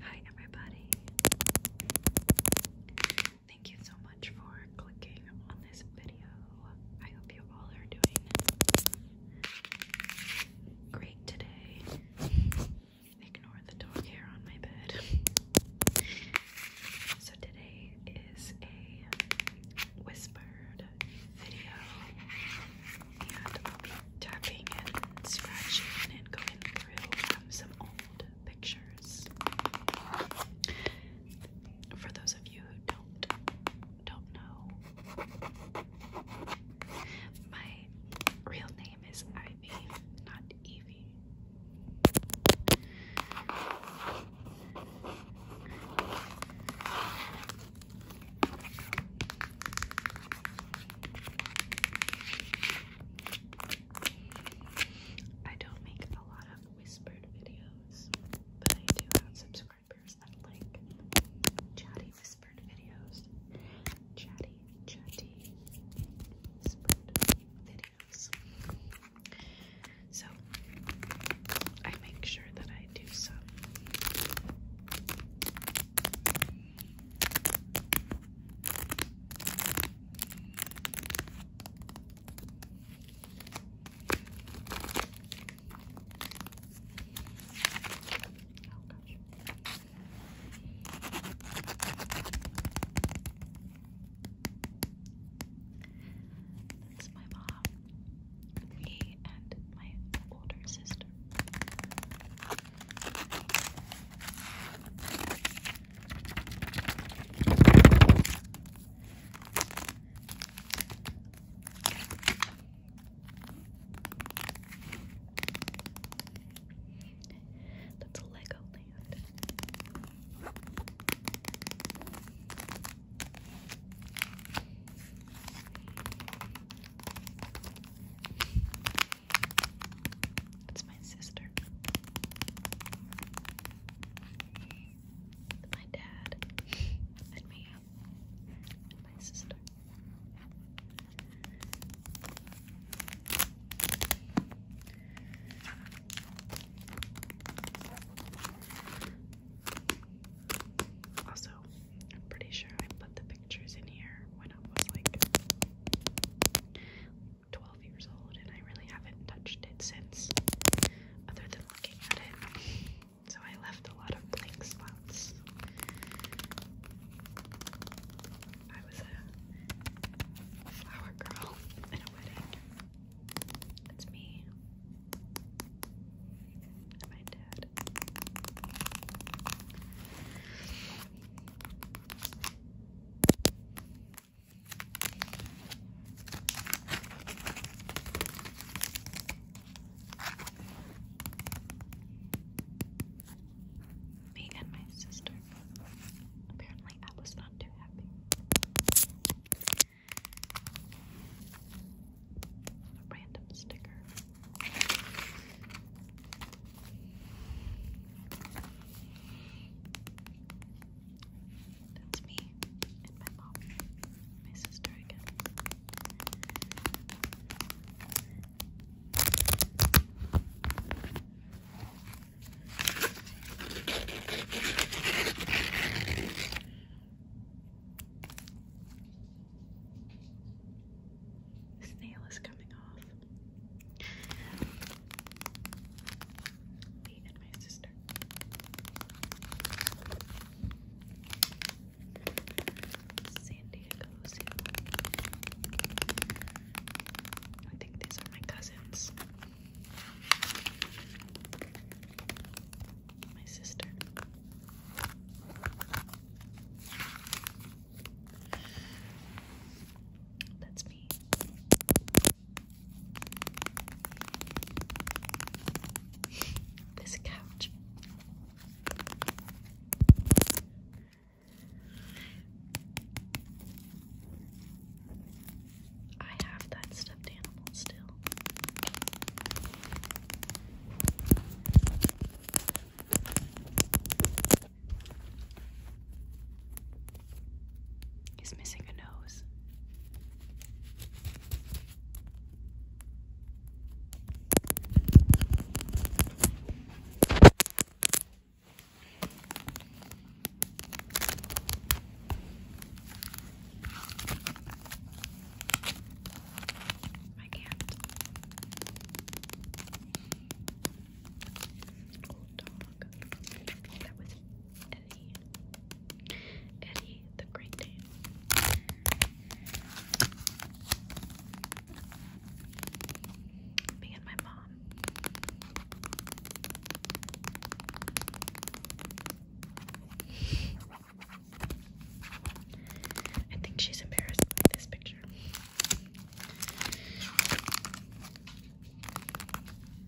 Hi, everybody. Thank you so much for clicking on this video. I hope you all are doing great today. Ignore the dog hair on my bed. So, today is a whispered video, and I'll be tapping and scratching and going through some old pictures. For those of you who don't don't know, my real name is Ivy, not Evie. I don't make a lot of whispered videos, but I do have subscribers that like chatty whispered videos. Chatty, chatty whispered videos. So I make that I do some. Oh, That's my mom. He and my older sister. That's a it's my sister. My dad and me and my sister. Also, I'm pretty sure I put the pictures in here when I was like 12 years old, and I really haven't touched it since, other than looking at it. So I left a lot of blank spots. I was a flower girl in a wedding. That's me. And my dad. Me and my sister. Apparently, I was not too happy. A random sticker. That's me and my mom, my sister again. This nail is coming off. Me and my sister. San Diego, San I think these are my cousins. My sister. That's me. this couch. I have that stuffed animal still. He's missing a nose. I can't. Old dog. That was Eddie. Eddie the Great Dane. Me and my mom. I think she's embarrassed by this picture.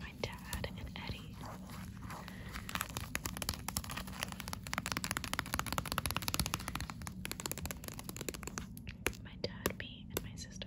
My dad and Eddie. My dad, me, and my sister.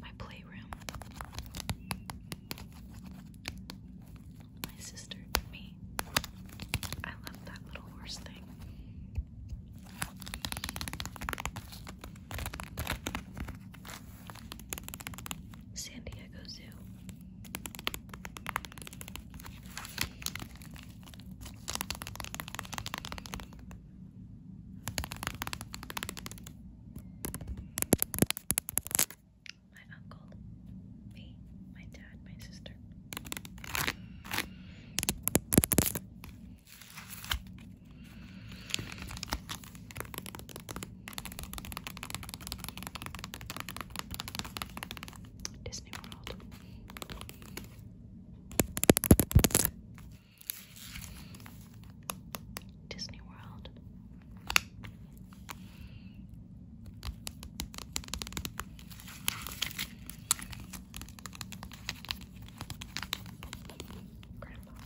my playroom. My sister and me. I love that little horse thing. San Diego Zoo. My uncle, me, my dad, my sister. Disney World. Disney World. Grandpa.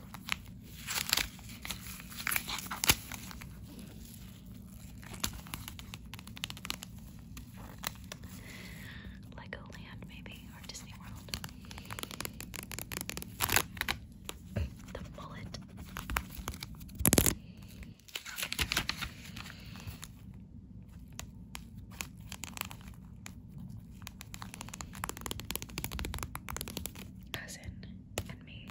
Legoland, maybe. York Disney World. The bullet. Cousin and me.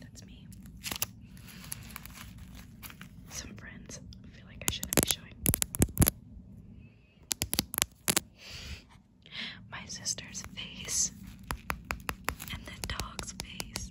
That's me. Some friends. I feel like I shouldn't be showing my sister's face and the dog's face.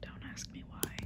Don't ask me why.